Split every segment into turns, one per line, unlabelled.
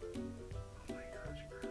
Oh my gosh, bro.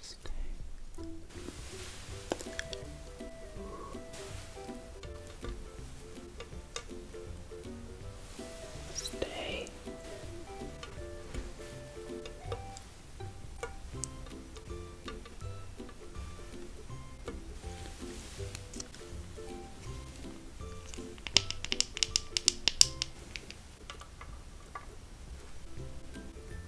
Stay. Stay.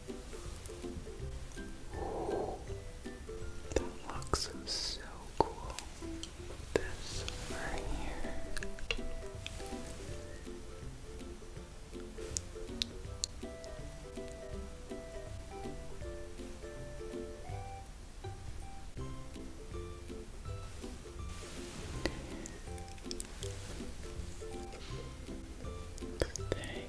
That looks so cool. This right here. Stay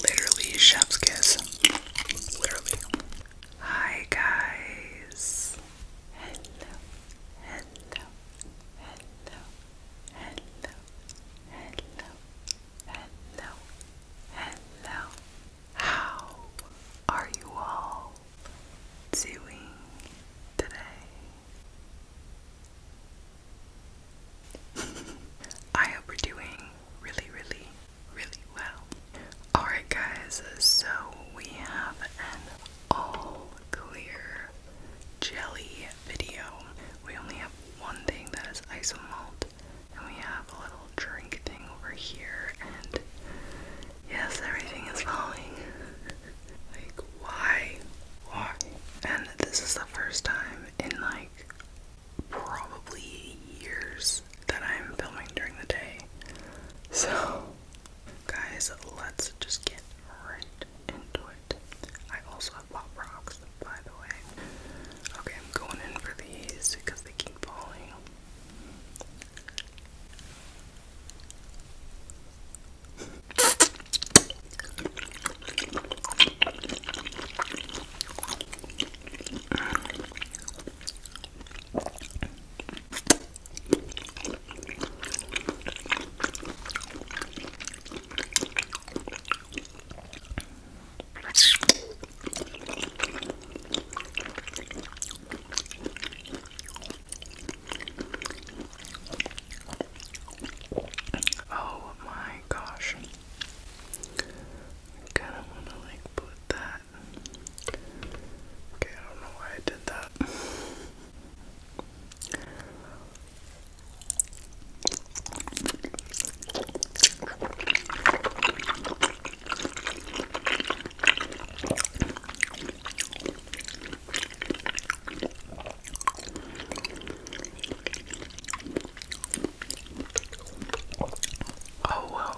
Literally, chef's kiss. Literally. Hi guys. Hello. Hello. Hello. Hello. Hello. Hello. Hello. How are you all doing today? I hope we're doing really, really really well. Alright, guys, so we have an all clear jelly video. We only have one thing that is isomalt, and we have a little drink thing over here, and yes, everything is falling. like, why? Why? And this is the first time in like probably years that I'm filming during the day. So, guys, let's just get right into it. I also have pop rocks, by the way. Okay, I'm going in for these because they keep falling. Oh my gosh. I kinda wanna like put that Okay, I don't know why I did that. Oh well,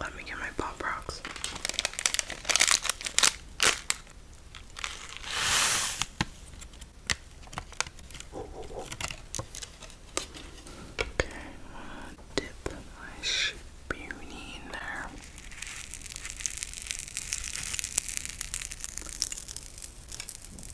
Let me get my pop rocks. Okay, dip my spoonie in there.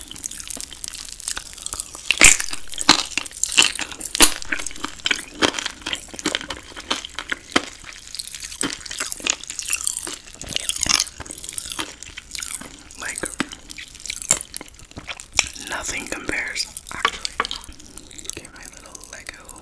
Like nothing compares actually. Get my little Lego.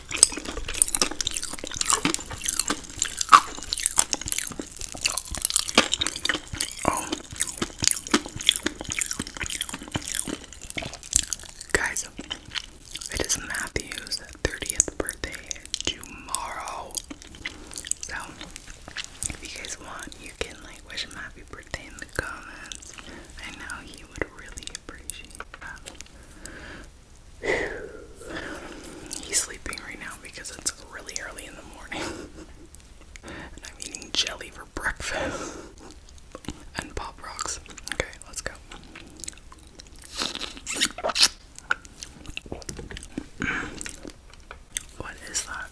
Oh. Guys, it is Matthew's 30th birthday tomorrow. So, if you guys want, you can like wish him happy birthday in the comments. I know he would really appreciate that. He's sleeping right now because it's really early in the morning. and I'm eating jelly for breakfast. and pop rocks. Okay, let's go. What is that?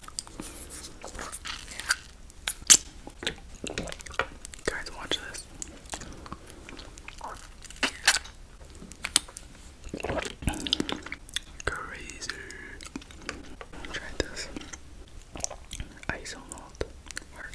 Guys, watch this. Crazy. Try this. Ice on malt. Heart.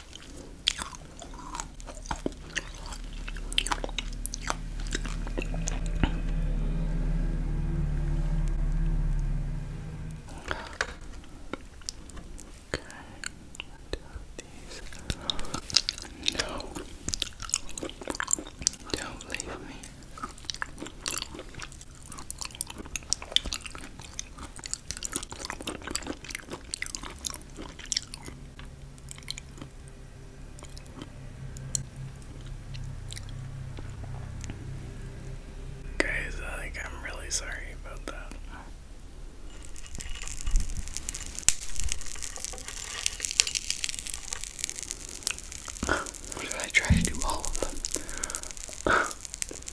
Okay, these. No, don't leave me. Guys, I I'm really sorry about that. I try to do all of them?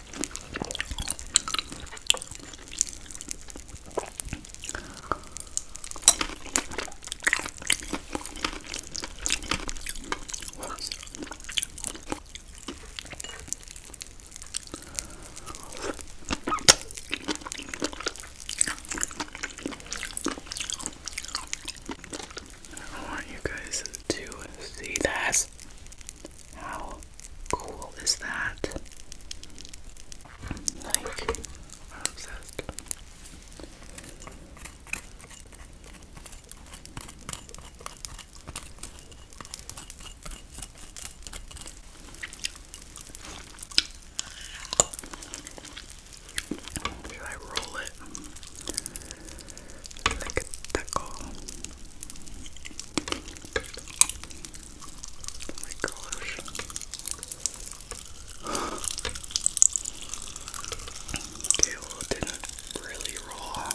I want you guys to see that. How cool is that? Like, obsessed. Should I roll it? like a pickle. my gosh. Okay, well it really roll.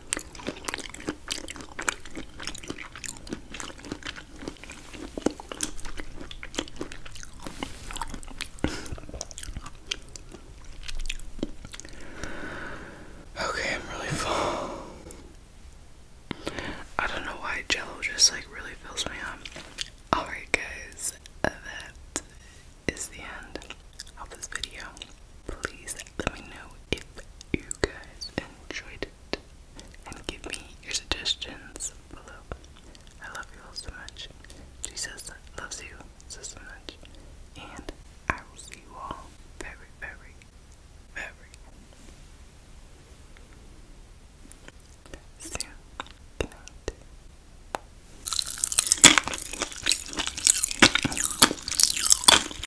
Okay, I'm really full. I don't know why jello just like really fills me up. Alright, guys, that is the end of this video please let me know if you guys enjoyed it and give me your suggestions below. I love you all so much. Jesus loves you so, so much. And I will see you all very, very, very soon. Good